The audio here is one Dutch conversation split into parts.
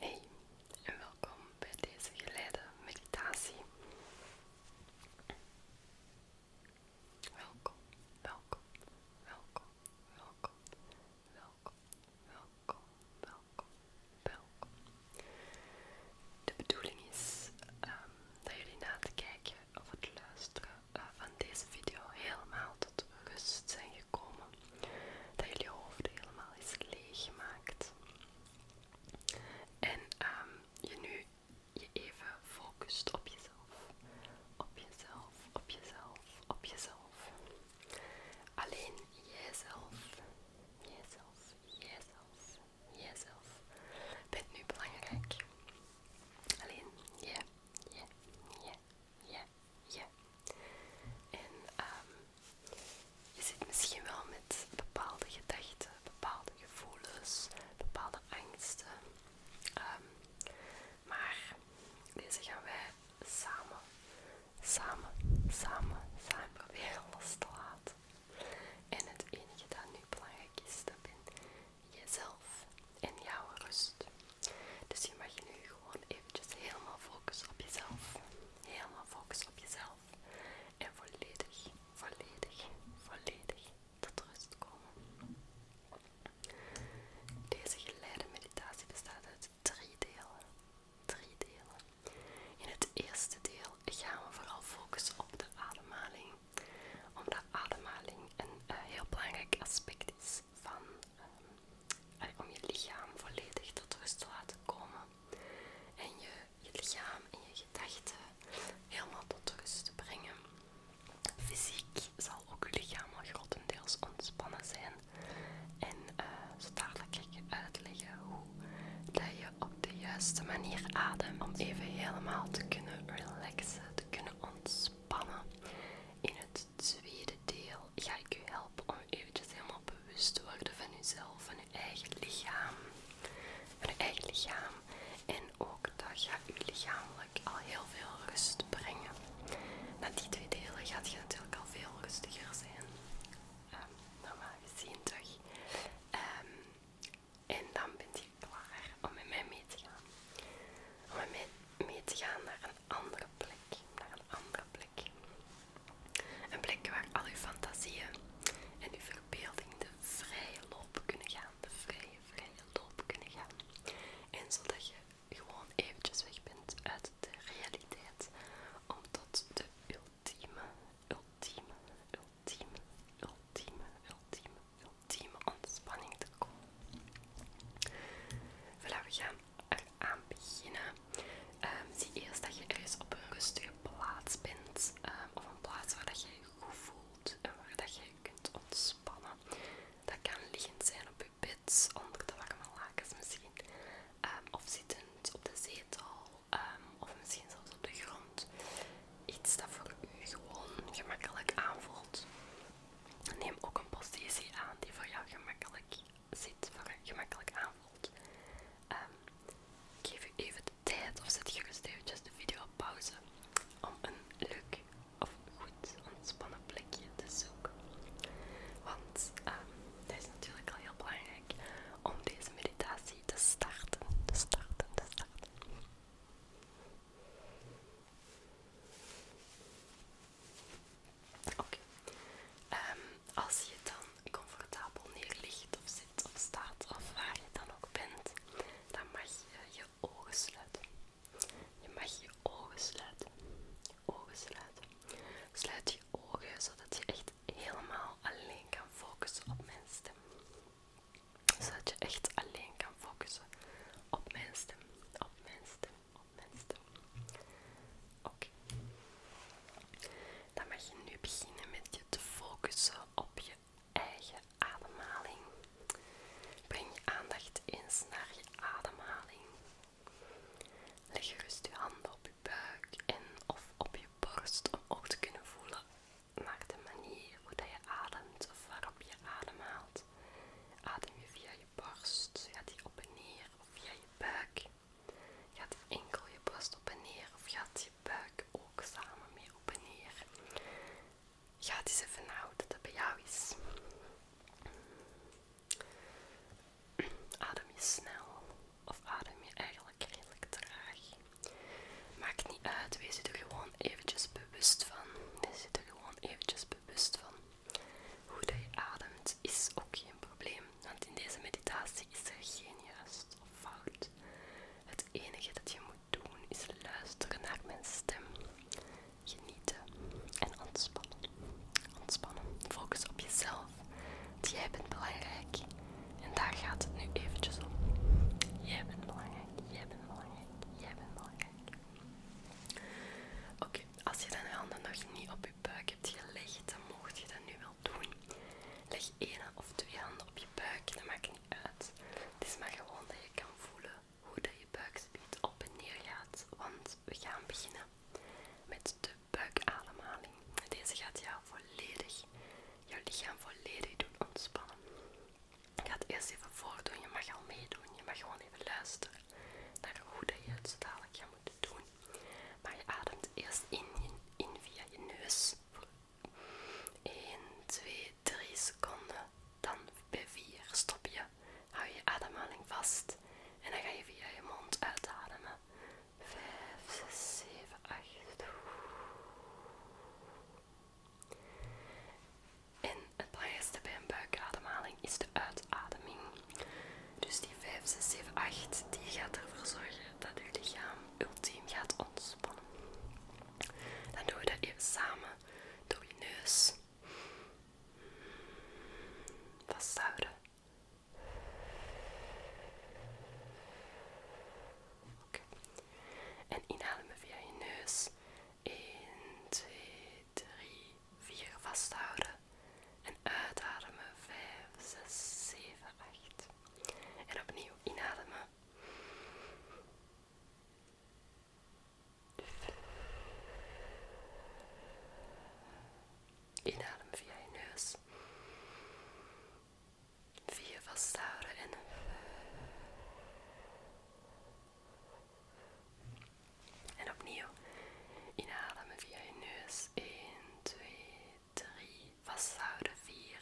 Hey en welkom bij deze geleide meditatie. Welkom, welkom, welkom, welkom, welkom, welkom, welkom, welkom. De bedoeling is ehm, dat jullie na te kijken of het luisteren eh, van deze video helemaal tot rust zijn gekomen. Dat jullie hoofd helemaal is leeggemaakt. En ehm, je nu je even focust op jezelf. Op jezelf, op jezelf, op jezelf. Alleen jijzelf, jijzelf, jijzelf, jijzelf bent nu belangrijk. Alleen jij ja ja ja ja En ehm, je zit misschien wel met bepaalde gedachten, bepaalde gevoelens, bepaalde angsten. Ehm, maar deze gaan wij samen, samen, samen, samen proberen los te laten. En het enige dat nu belangrijk is, dat ben jezelf en jouw rust. Dus je mag nu gewoon eventjes helemaal focussen op jezelf. Helemaal focussen op jezelf. En volledig, volledig, volledig tot rust komen. Deze geleide meditatie bestaat uit drie delen. Drie delen. In het eerste deel gaan we vooral focussen op de ademhaling omdat ademhaling een eh, heel belangrijk aspect is van, ehm, eh, om je lichaam volledig tot rust te laten komen. En je, lichaam en je gedachten helemaal tot rust te brengen. Fysiek zal ook je lichaam grotendeels ontspannen zijn. En eh, zo dadelijk ga ik uitleggen hoe dat je op de juiste manier ademt om even helemaal te kunnen relaxen, te kunnen ontspannen in het tweede deel ga ik u helpen om eventjes helemaal bewust te worden van uzelf, van je eigen lichaam. Van eigen lichaam. En ook dat gaat je lichamelijk al heel veel rust brengen. Na die twee delen gaat je natuurlijk al veel rustiger zijn. Ehm, normaal gezien toch. Ehm, en dan bent je klaar om met mij mee te gaan. Om met mij mee te gaan naar een andere plek. Naar een andere plek. Een plek waar al uw fantasieën en uw verbeelding de vrije loop kunnen gaan. De vrije, vrije loop kunnen gaan. En zodat je gewoon eventjes weg bent uit de realiteit. Om tot de ultieme, ultieme, ultieme, ultieme, ultieme, ultieme ultieme ontspanning te komen. Voilà, we gaan eraan beginnen. Ehm, zie eerst dat je ergens op een rustige plaats bent, ehm, of een plaats waar dat je je goed voelt en waar dat je kunt ontspannen. Dat kan liggend zijn op je bed, onder de warme lakens misschien, ehm, of zittend op de zetel, of misschien zelfs op de grond iets dat voor u gewoon gemakkelijk aanvoelt. Neem ook een positie aan die voor jou gemakkelijk zit, voor u gemakkelijk aanvoelt. Ehm, geef u even de tijd of zet je eventjes de video op pauze om een leuk of goed ontspannen plekje te zoeken. Want ehm, het is natuurlijk al heel belangrijk om deze meditatie te starten, te starten, te starten. Oké. Ehm, als je dan comfortabel neerligt of zit of staat of waar je dan ook bent, dan mag je je ogen sluiten. Je mag je ogen sluiten. Ogen sluiten. Sluit je ogen zodat je echt helemaal alleen kan focussen op mijn stem zodat je echt alleen kan focussen op mijn stem. Op mijn stem, op mijn stem. Oké. Dan mag je nu beginnen met je te focussen op je eigen ademhaling. Breng je aandacht eens naar je ademhaling. Leg gerust je handen op je buik en of op je borst om ook te kunnen voelen maak de manier hoe dat je ademt of waarop je adem haalt. Adem je via je borst, gaat die op en neer of via je buik. Gaat enkel je borst op en neer of gaat je buik ook samen mee op en neer. Ga eens even dat bij jou is. Adem je snel of adem je eigenlijk redelijk traag? Maakt niet uit, wees er gewoon eventjes bewust van. Wees er gewoon eventjes bewust van. Hoe dat je ademt is ook geen probleem, want in deze meditatie is er geen juist of fout. Het enige dat je moet doen is luisteren naar mijn stem, genieten en ontspannen. Ontspannen, focus op jezelf, want jij bent belangrijk. En daar gaat het nu eventjes om. Jij bent belangrijk, jij bent belangrijk. Jij bent belangrijk. Oké, als je dan je handen nog niet op je buik hebt gelegd, dan mocht je dat nu wel doen. Leg één of twee handen op je buik, dat maakt niet uit. Het is maar gewoon dat je kan voelen hoe dat je buikspiet op en neer gaat, want we gaan beginnen met de buikademhaling. Deze gaat jou volledig, jouw lichaam volledig doen ontspannen. Ik ga het eerst even voordoen. Je mag al meedoen. Je mag gewoon even luisteren naar hoe je het zo dadelijk gaat moeten doen. Maar je ademt eerst in, in via je neus. 1, 2, 3 seconden. Dan bij 4 stop je. Hou je ademhaling vast. En dan ga je via je mond uitademen. 5, 6, 7, 8. En het belangrijkste bij een buikademhaling is de uitademing. Dus die 5, 6, 7, 8, die gaat ervoor zorgen dat je lichaam ultiem gaat ontspannen. Dan doen we dat even samen door je neus. Vasthouden. Oké. En inademen via je neus. 1, 2, 3, 4. Vasthouden. En uitademen. 5, 6, 7, 8. En opnieuw inhalen Inademen via je neus. Vier vasthouden en en opnieuw inhalen via je neus. 1, 2, 3. Vasthouden. 4.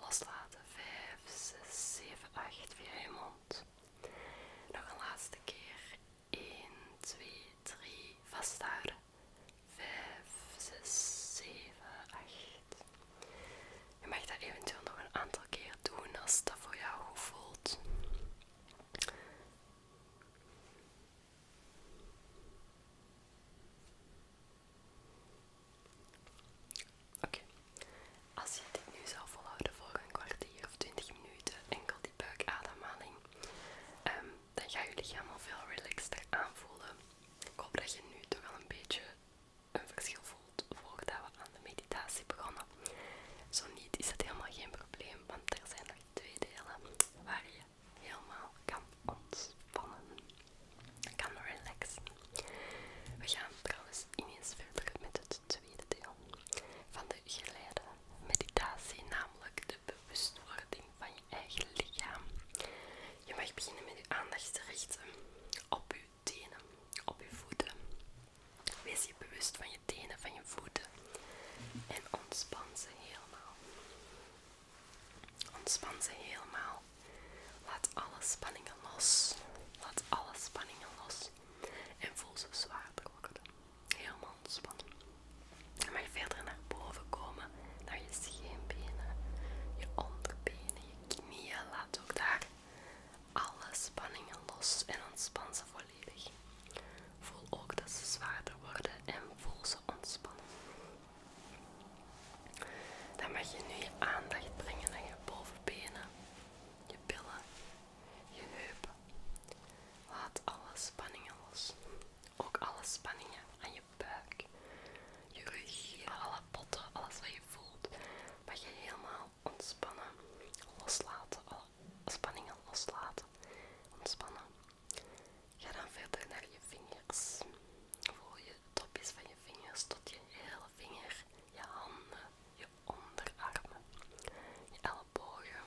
Loslaten. 5, 6, 7, 8. Via je mond. Nog een laatste keer. 1, 2, 3. Vasthouden. 5, 6, 7, 8. Je mag dat eventueel nog een aantal keer doen als dat voor jou goed voelt. Oké, als je dit nu zou volhouden voor een kwartier of 20 minuten, enkel die buikademhaling, ehm, dan ga je lichaam al veel relaxter aanvoelen. Ik hoop dat je nu toch al een beetje een verschil voelt voordat we aan de meditatie begonnen. Zo niet is dat helemaal geen probleem, want er zijn nog twee delen waar je helemaal kan ontspannen, kan relaxen. We gaan trouwens ineens verder met het tweede deel van de geleide meditatie, namelijk de bewustwording van je eigen lichaam. Je mag beginnen met je aandacht te richten op je tenen, op je voeten. Wees je bewust van je tenen, van je voeten en ontspan ze helemaal. Ontspan ze helemaal. Laat alle spanningen los. Laat alle spanningen los. En voel ze zwaarder worden. Helemaal ontspannen. Je verder naar boven komen, naar je scheenbenen, je onderbenen, je laat ook daar alle spanningen los en ontspan ze volledig. Voel ook dat ze zwaarder worden en voel ze ontspannen. Dan mag je nu je aandacht brengen naar je bovenbenen, je billen, je heupen. Laat alle spanningen los. Ook alle spanningen aan je buik, je alle potten, alles wat je voelt, wat je helemaal ontspannen, loslaten, alle spanningen loslaten, ontspannen. Ga dan verder naar je vingers. Voel je topjes van je vingers tot je hele vinger, je handen, je onderarmen, je ellebogen,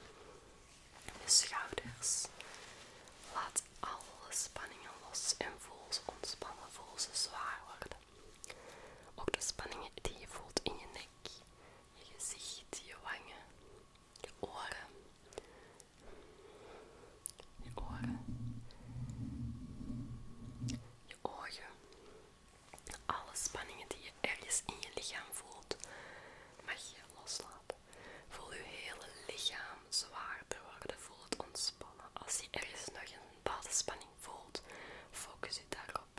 je schouders. Laat alle spanningen los en voel ze ontspannen, voel ze zwaar worden. Ook de spanningen die je voelt in je nek, je gezicht, je wangen, je oren. Je oren. Je ogen. Alle spanningen die je ergens in je lichaam voelt, mag je loslaten. Voel je hele lichaam zwaarder worden. Voel het ontspannen. Als je ergens nog een bepaalde spanning voelt, focus je daarop.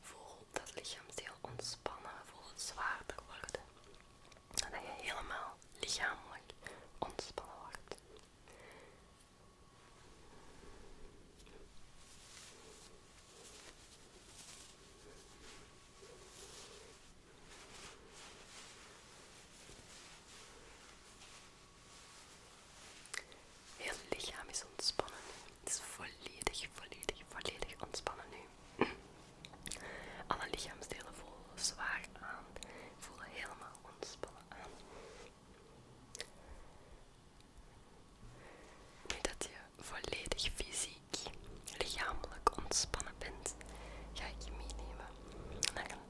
Voel dat lichaamsdeel ontspannen, voel het zwaarder worden. Dat je helemaal lichamelijk ontspannen wordt. Heel lichaam is ontspannen nu. Het is volledig, volledig, volledig ontspannen nu. Alle lichaamsdelen voelen zwaar aan. Voelen helemaal ontspannen aan. Nu dat je volledig fysiek, lichamelijk ontspannen bent, ga ik je meenemen naar een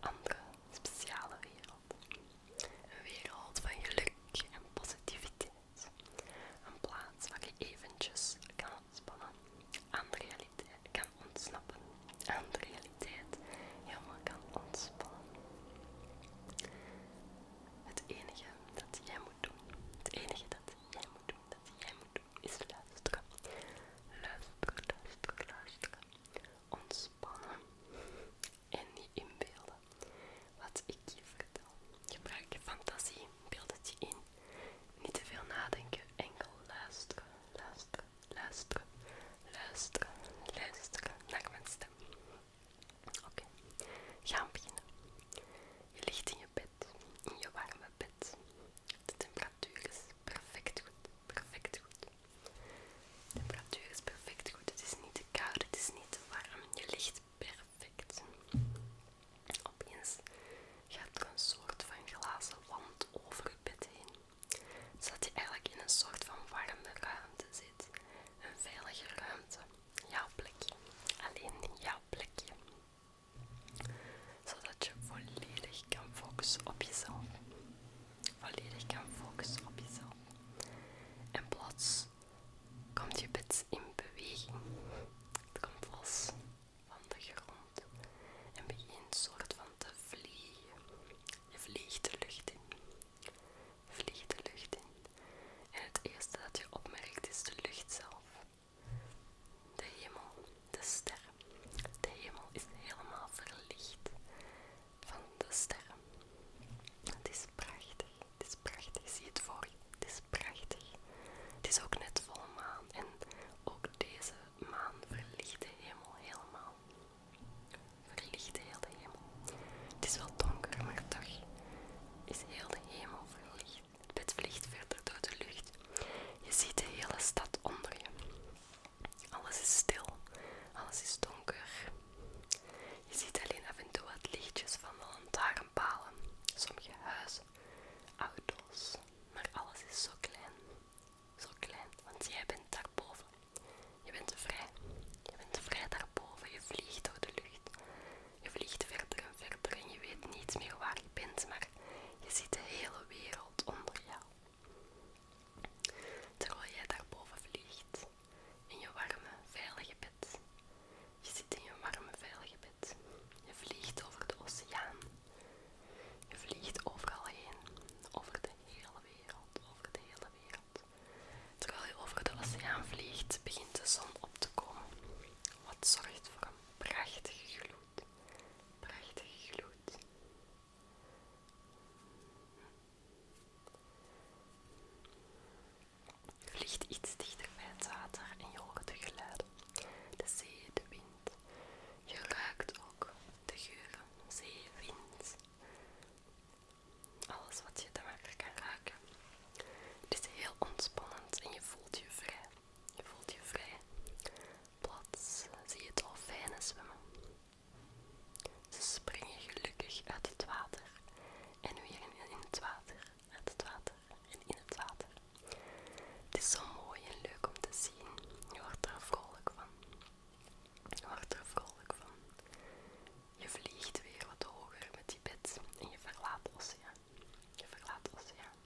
andere speciale wereld. Een wereld van geluk en positiviteit. Een plaats waar je eventjes kan ontspannen, aan de realiteit kan ontsnappen, aan de realiteit helemaal kan ontspannen. Het enige dat jij moet doen, het enige dat jij moet doen, dat jij moet doen, is luisteren. Luisteren, luisteren, luisteren ontspannen en niet inbeelden wat ik je vertel. Gebruik je fantasie, beeld het je in. Niet te veel nadenken, enkel luisteren, luisteren, luisteren, luisteren, luisteren naar mijn stem. Oké, gaan beginnen. Je ligt in je bed, in je warme bed. De temperatuur is perfect goed, perfect goed. De temperatuur is perfect goed. Het is niet te koud, het is niet te warm. Je ligt perfect. Opeens gaat er een soort van glazen wand over je bed heen. Zodat je eigenlijk in een soort van warme ruimte zit. Een veilige ruimte. Jouw plekje. Alleen jouw plekje. Zodat je volledig je kan focussen op jezelf. Volledig kan focussen op jezelf. En plots komt je bed in beweging. Het komt vast van de grond en begint soort van te vliegen. Je vliegt de lucht in. Je vliegt de lucht in. En het eerste dat je opmerkt is de lucht zelf. De hemel de sterren. De hemel is helemaal verlicht van de sterren. Het is prachtig, het is prachtig. Zie het voor je, het is prachtig. Het is ook net volle maan en ook deze maan verlicht de hemel helemaal. Verlicht heel de hemel. Het is wel donker, maar toch is heel de hemel verlicht. Het bed vliegt verder door de lucht. Je ziet de hele stad onder je. Alles is stil, alles is donker. Je ziet alleen af en toe wat lichtjes van de lantaarnpalen, sommige huizen, auto's, maar alles is zo klein. Zo klein, want jij bent daarboven. Je bent vrij. Je bent vrij daarboven. Je vliegt door de lucht. Je vliegt verder en verder en je weet niet meer waar je bent, maar je ziet de hele wereld onder jou. Terwijl jij daarboven vliegt, in je warme, veilige bed. Je zit in je warme, veilige bed. Je vliegt over de oceaan. Je vliegt overal heen, over de hele wereld, over de hele wereld. Terwijl je over de oceaan vliegt, begint de zon op te komen. Wat zorgt voor een prachtige gloed gloed. Prachtige gloed. Vliegt iets dichter bij het water en je hoort de geluiden. De zee, de wind. Je ruikt ook de geuren. Zee, wind. Alles wat je te maken kan raken. Het is heel ontspannend en je voelt je vrij. Je voelt je vrij. Plots zie je dolfijnen zwemmen. Ze springen gelukkig uit het water en weer in het water, uit het water en in het water. Het is zo mooi en leuk om te zien. Je wordt er vrolijk van. Je wordt er vrolijk van. Je vliegt weer wat hoger met die bed en je verlaat Oceaan. Je verlaat Oceaan.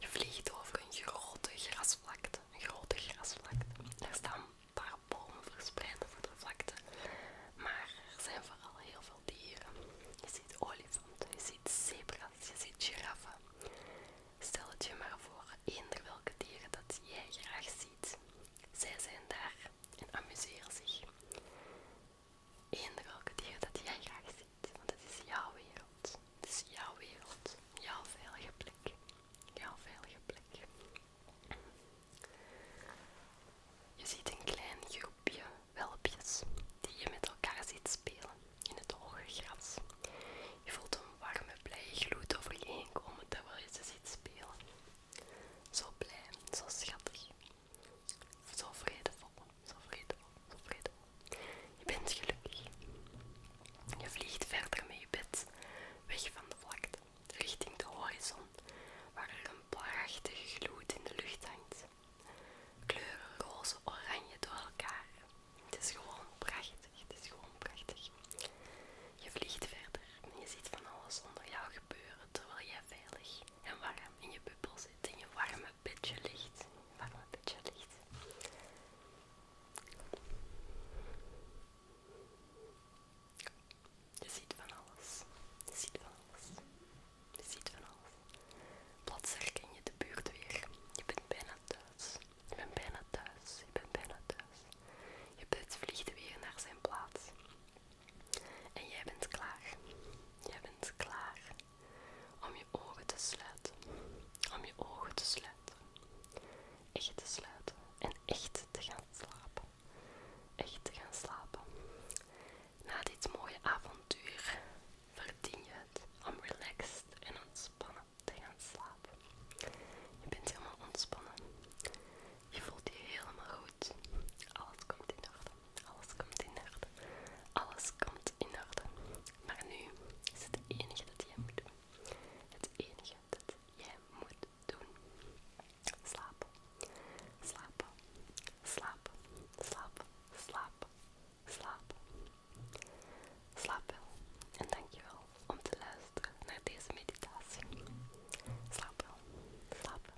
Je vliegt over een grote grasvlakte. Een grote grasvlakte. Er staan een paar bomen verspreid over de vlakte. Maar er zijn vooral heel veel dieren. Je ziet olifanten, je ziet zebra's, je ziet giraffen. Stel het je maar voor eender welke dieren dat jij graag ziet. Zij zijn daar en amuseren zich. Eender welke dieren dat jij graag ziet. Want het is jouw wereld. Het is jouw wereld. Jouw veilige plek. Jouw veilige plek. Je ziet een klein groepje welpjes die je met elkaar ziet spelen in het hoge gras. Je voelt een warme, blije gloed over je heen komen terwijl je ze ziet spelen. Zo blij, zo schattig, zo vredevol, zo vredevol, zo vredevol. Je bent gelukkig. Je vliegt verder met je bed, weg van de vlakte, richting de horizon, waar er een prachtige gloed in de lucht hangt. Kleuren roze, oranje door elkaar. Het is gewoon prachtig, het is gewoon prachtig. Je vliegt verder en je ziet van alles onder jou gebeuren terwijl jij veilig en warm in je bubbel zit, in je warme pitje ligt. Warme ligt. Je ziet van alles. Je ziet van alles. Je ziet van alles. Plots herken je de buurt weer. Je bent bijna thuis. Je bent bijna thuis. Je bent bijna thuis. Je bed vliegt weer naar zijn plaats. En jij bent klaar. Jij bent klaar. Om je ogen te sluiten. Om je ogen te sluiten. Echt te sluiten. En echt te gaan slapen. Echt te gaan slapen. Na dit mooie avontuur verdien je het om relaxed en ontspannen te gaan slapen. Je bent helemaal ontspannen. Je voelt je helemaal goed. Alles komt in orde. Alles komt in orde. Alles komt in orde. Maar nu is het enige dat jij moet doen. Het enige dat jij moet doen. Slapen. Slapen. Slapen. Slapen. Slapen. Slapen. Slaap wel. En dankjewel om te luisteren naar deze meditatie. Slaap wel. Slaap